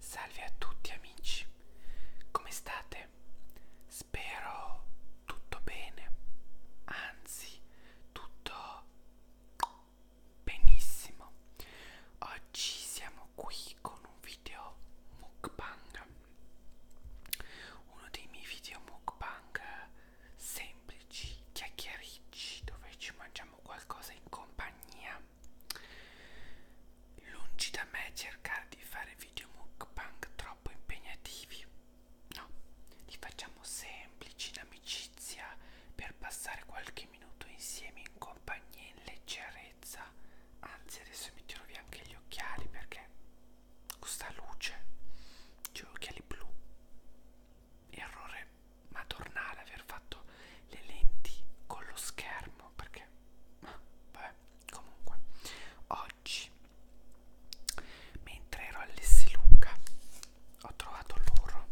Salve a tutti amici, come state? Spero tutto bene, anzi tutto benissimo. Oggi siamo qui con un video mukbang, uno dei miei video mukbang semplici, chiacchiericci, dove ci mangiamo qualcosa in compagnia Lungi da me cercare di fare video mukbang troppo impegnativi. No, li facciamo semplici in amicizia per passare qualche minuto insieme in compagnia in leggerezza. Anzi, adesso mi tiro via anche gli occhiali perché questa luce, cioè occhiali blu, errore ma tornare ad aver fatto le lenti con lo schermo perché ah, vabbè comunque oggi mentre ero all'Esselunga ho trovato loro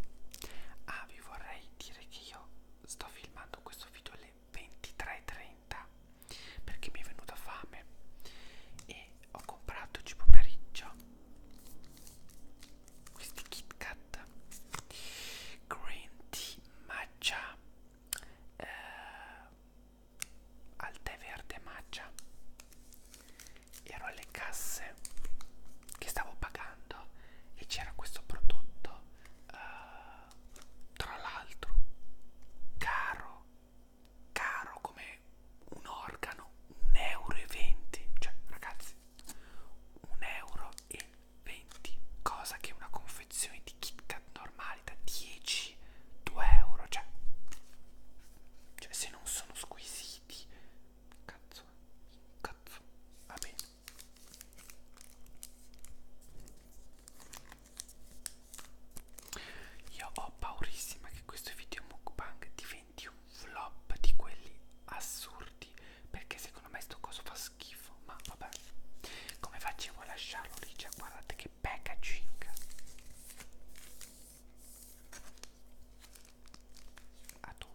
ah vi vorrei dire che io sto filmando questo video alle 23.30 perché mi è venuta fame e ho comprato oggi pomeriggio questi Kit Kat green tea di matcha eh, al tè verde matcha ero alle casse che stavo pagando e c'era questo prodotto eh, tra l'altro caro caro come un organo 1,20 euro cioè ragazzi 1,20 euro e 20, cosa che una confezione di Kit Kat normale da 10, 2 euro, cioè, cioè se non sono squisiti, cazzo, cazzo, va bene. Io ho paurissima che questo video mukbang diventi un flop di quelli assurdi perché secondo me sto coso fa schifo ma vabbè come facevo a lasciarlo lì cioè guardate che packaging adoro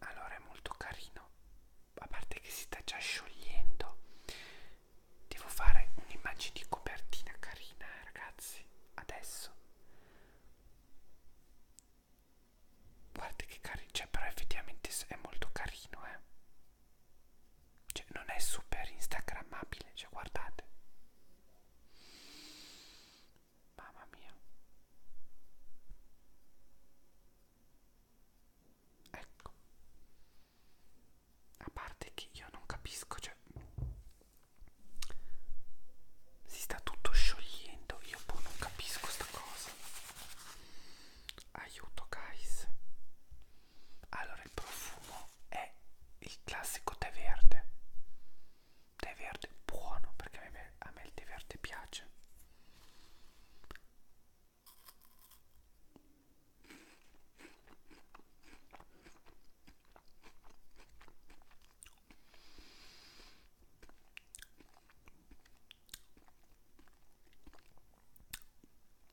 Allora è molto carino, a parte che si sta già sciogliendo. Devo fare un'immagine di copertina carina, eh, ragazzi, adesso. Guarda che carino, cioè però effettivamente è molto carino, eh. Cioè, non è super instagrammabile, cioè guardate. Mamma mia. Ecco. A parte che io non capisco, cioè si sta tutto sciogliendo, io poi boh, non capisco sta cosa aiuto guys allora il profumo è il classico tè verde tè verde buono perché a me, a me il tè verde piace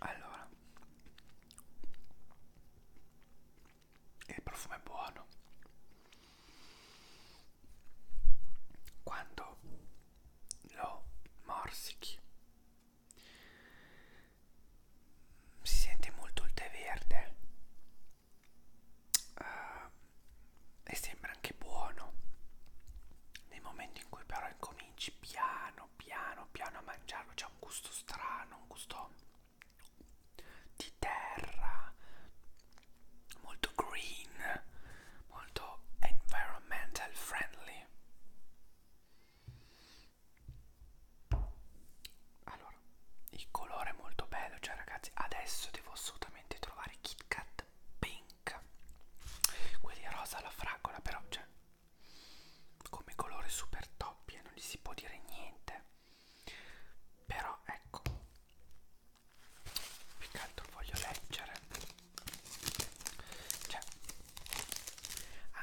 Allora, il profumo è buono. Quando lo morsichi si sente molto il tè verde uh, e sembra anche buono nel momento in cui però incominci piano piano piano a mangiarlo c'è un gusto strano un gusto di terra molto green molto environmental friendly allora, il colore è molto bello, cioè ragazzi, adesso devo assolutamente trovare Kit Kat Pink. Quelli rosa alla fragola, però, cioè, come colore super top, non gli si può dire niente. Però, ecco, più che altro voglio leggere. Cioè,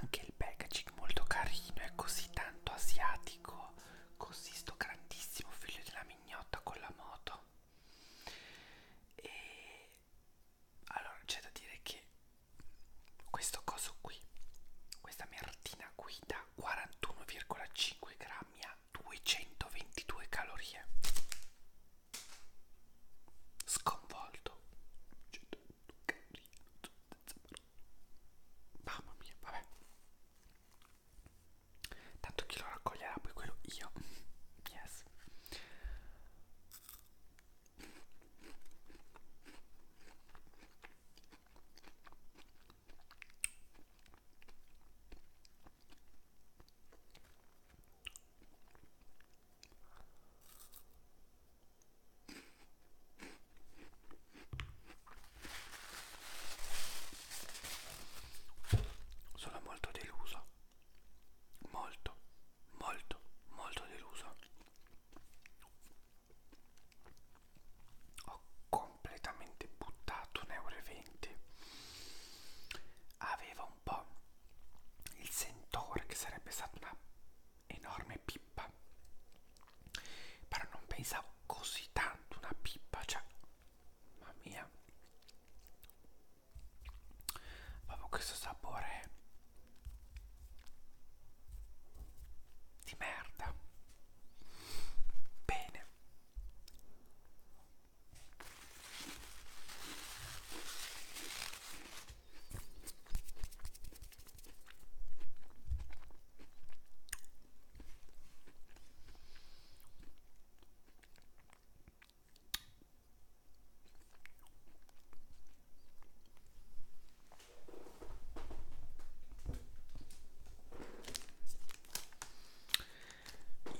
anche il packaging molto carino, è così tanto asiatico, così sto grandissimo figlio della mignotta con la moto. E allora c'è da dire che questo coso qui, questa mertina qui da 41,5 grammi a 222 calorie. Sconvolto. 122. Mamma mia, vabbè. Tanto chi lo raccoglierà poi quello io. Yes. Sono molto deluso. Molto, molto, molto deluso. Ho completamente buttato un euro e 20. Aveva un po' il sentore che sarebbe stata una enorme pippa però non pensavo così tanto una pippa cioè mamma mia proprio questo sapore di merda bene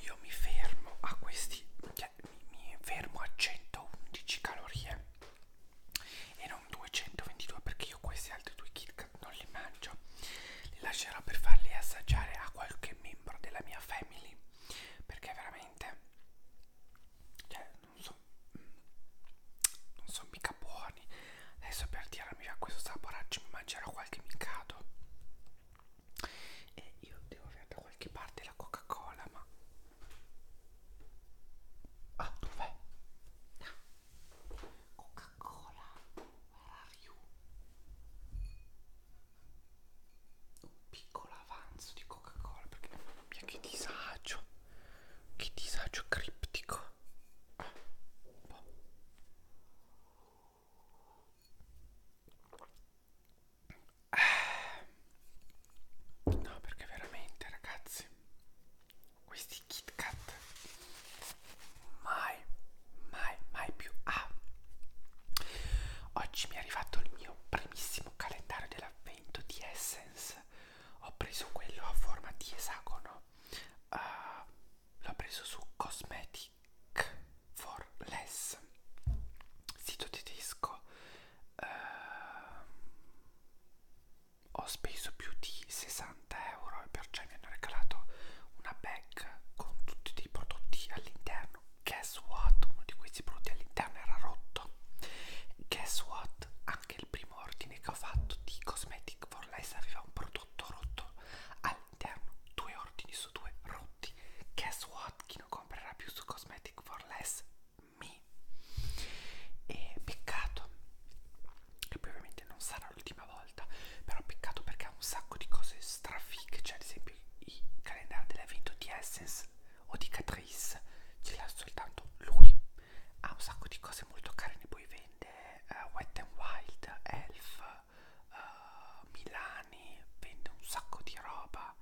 io mi fermo a questi, cioè mi, mi fermo a 111 calorie e non 222 perché io questi altri due KitKat non li mangio li lascerò per farli assaggiare a qualche membro della mia family perché veramente cioè non so mm, non sono mica buoni adesso per tirarmi a questo saporaccio mi mangerò qualche micato e io devo avere da qualche parte la coca cola ma Ah, dov'è? No. Coca-Cola, where are you? Un piccolo avanzo di Coca-Cola perché mamma mia che disagio. Che disagio criptico. Ah, un po'. Ah. No, perché veramente, ragazzi questi Kit Kat mai mai mai più ah oggi mi è arrivato il mio primissimo calendario dell'avvento di Essence ho preso quello a forma di esagono uh, l'ho preso su Cosmetic for Less sito tedesco uh, ho speso più di 60 euro e perciò mi hanno regalato una bag con tutti dei prodotti all'interno. Guess what? Uno di questi prodotti all'interno era rotto. Guess what? Anche il primo ordine che ho fatto di Cosmetic for Less aveva un prodotto rotto all'interno. Due ordini su due rotti. Guess what? Chi non comprerà più su Cosmetic for Less me. E peccato, che poi ovviamente non sarà l'ultima volta, però peccato perché ha un sacco di cose strafighe, cioè ad esempio i calendari dell'evento di Essence o di Catrice, ce l'ha soltanto lui. Ha un sacco di cose molto carine, poi vende uh, eh, Wet n Wild, Elf, uh, Milani, vende un sacco di roba.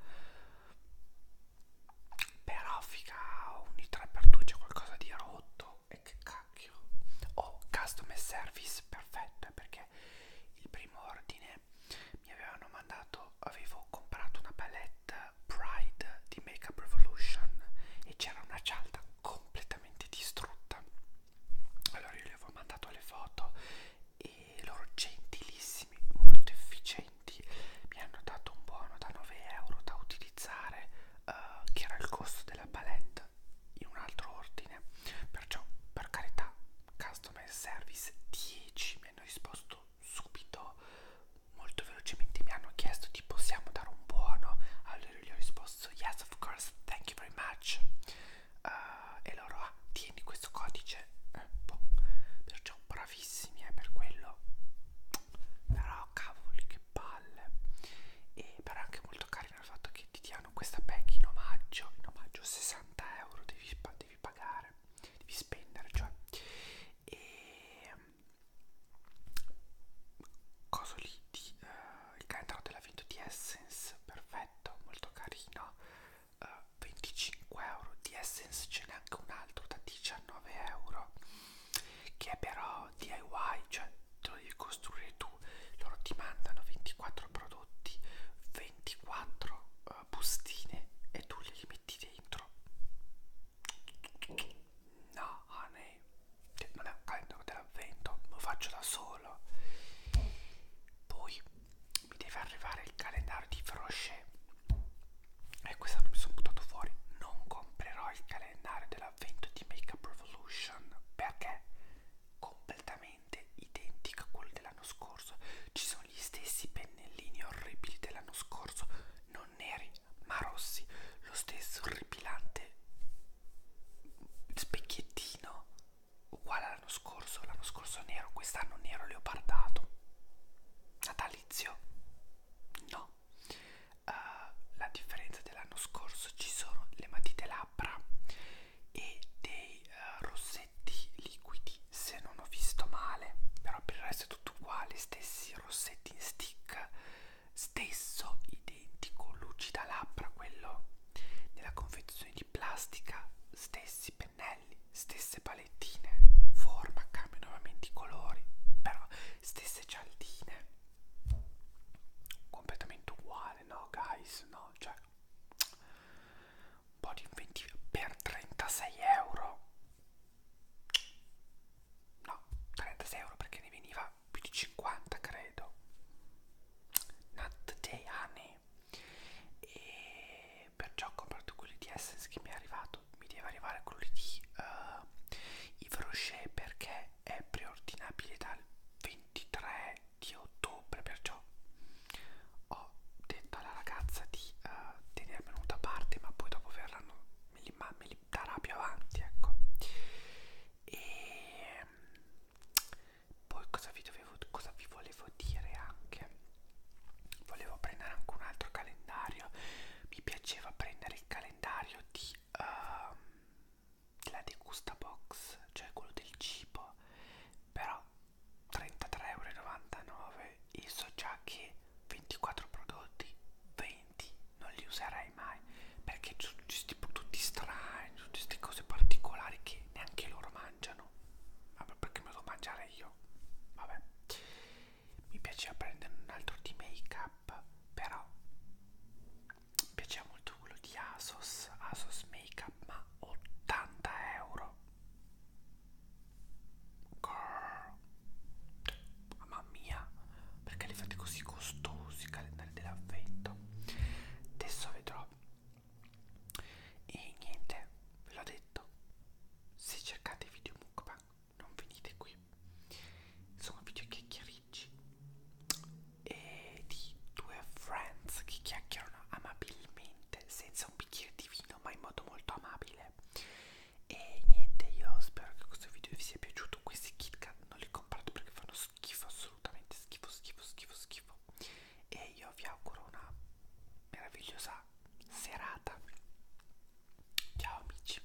Però figa, ogni 3x2 c'è qualcosa di rotto e che cacchio oh customer service perfetto eh, perché il primo ordine mi avevano mandato avevo comprato una palette pride di make up revolution e c'era una cialda completamente distrutta allora io gli avevo mandato le foto e loro gentilissimi molto efficienti mi hanno dato un buono da 9 euro da utilizzare uh, che era il costo della palette in un altro ordine perciò per carità customer service 10 mi hanno risposto subito molto velocemente mi hanno chiesto ti possiamo dare un buono allora gli ho risposto yes of course thank you very much uh, e loro ah tieni questo codice eh, boh. perciò bravissimi è eh, per quello però cavoli che palle e però è anche molto carino il fatto che ti diano questa pack in omaggio in omaggio 60 euro devi, devi pagare devi spendere cioè e coso lì di, uh, il calendaro dell'avvento di Essence perfetto molto carino uh, eh, 25 euro di Essence ce n'è anche un altro da 19 euro che è però DIY, cioè te lo devi costruire tu, loro ti mandano 24 prodotti, 24 uh, eh, bustine e tu li metti dentro. No, honey, cioè, non è un calendario dell'avvento, lo faccio da solo. Poi mi deve arrivare il calendario di Frochet e quest'anno mi sono buttato fuori. Non comprerò il calendario della l'avvento di Make Up Revolution perché è completamente identico a quello dell'anno scorso. Ci sono gli stessi pennellini orribili dell'anno scorso, non neri ma rossi, lo stesso orripilante specchiettino uguale all'anno scorso, l'anno scorso nero, quest'anno nero leopardato. Natalizio? No so uh, eh, la differenza dell'anno scorso ci sono le matite labbra e dei uh, rossetti liquidi se non ho visto male però per il resto è tutto uguale stessi rossetti in stick stesso identico lucida labbra quello nella confezione di plastica stessi pennelli stesse palettine forma cambiano nuovamente i colori però stesse cialdine completamente uguale no guys no cioè un po' di inventiva per 36 euro no 36 euro perché ne veniva più di 50 credo not today honey e perciò ho comprato quelli di Essence che mi è arrivato mi deve arrivare quelli di uh, eh, Yves Rocher perché 3 è preordinabile dal 23 di ottobre, perciò ho detto alla ragazza di uh, tenermelo da parte, ma poi dopo verranno, me li, ma, me li darà più avanti, ecco. E ehm, poi cosa vi, dovevo, cosa vi volevo dire anche? Volevo prendere anche un altro calendario, mi piaceva prendere il calendario di uh, ehm, della degusta box, cioè quello del cibo, però 33,99€ e so già che 24 prodotti, 20 non li userai mai perché sono tipo tutti strani, tutte queste cose particolari che neanche loro mangiano. Vabbè, perché me lo mangiare io? Vabbè, mi piaceva prendere un altro di make up, però mi piaceva molto quello di Asos, Asos Makeup, ma 80 euro. Girl. Mamma mia, perché li fate così costosi i calendari dell'avvento? Adesso vedrò. E niente, ve l'ho detto. Se cercate video mukbang non venite qui. Sono video chiacchierine Ricci e di due friends che chiacchierano amabilmente senza un bicchiere di vino ma in modo molto amabile e niente io spero che questo video vi sia piaciuto questi KitKat non li comprate perché fanno schifo assolutamente schifo schifo schifo schifo e io vi auguro una meravigliosa serata ciao amici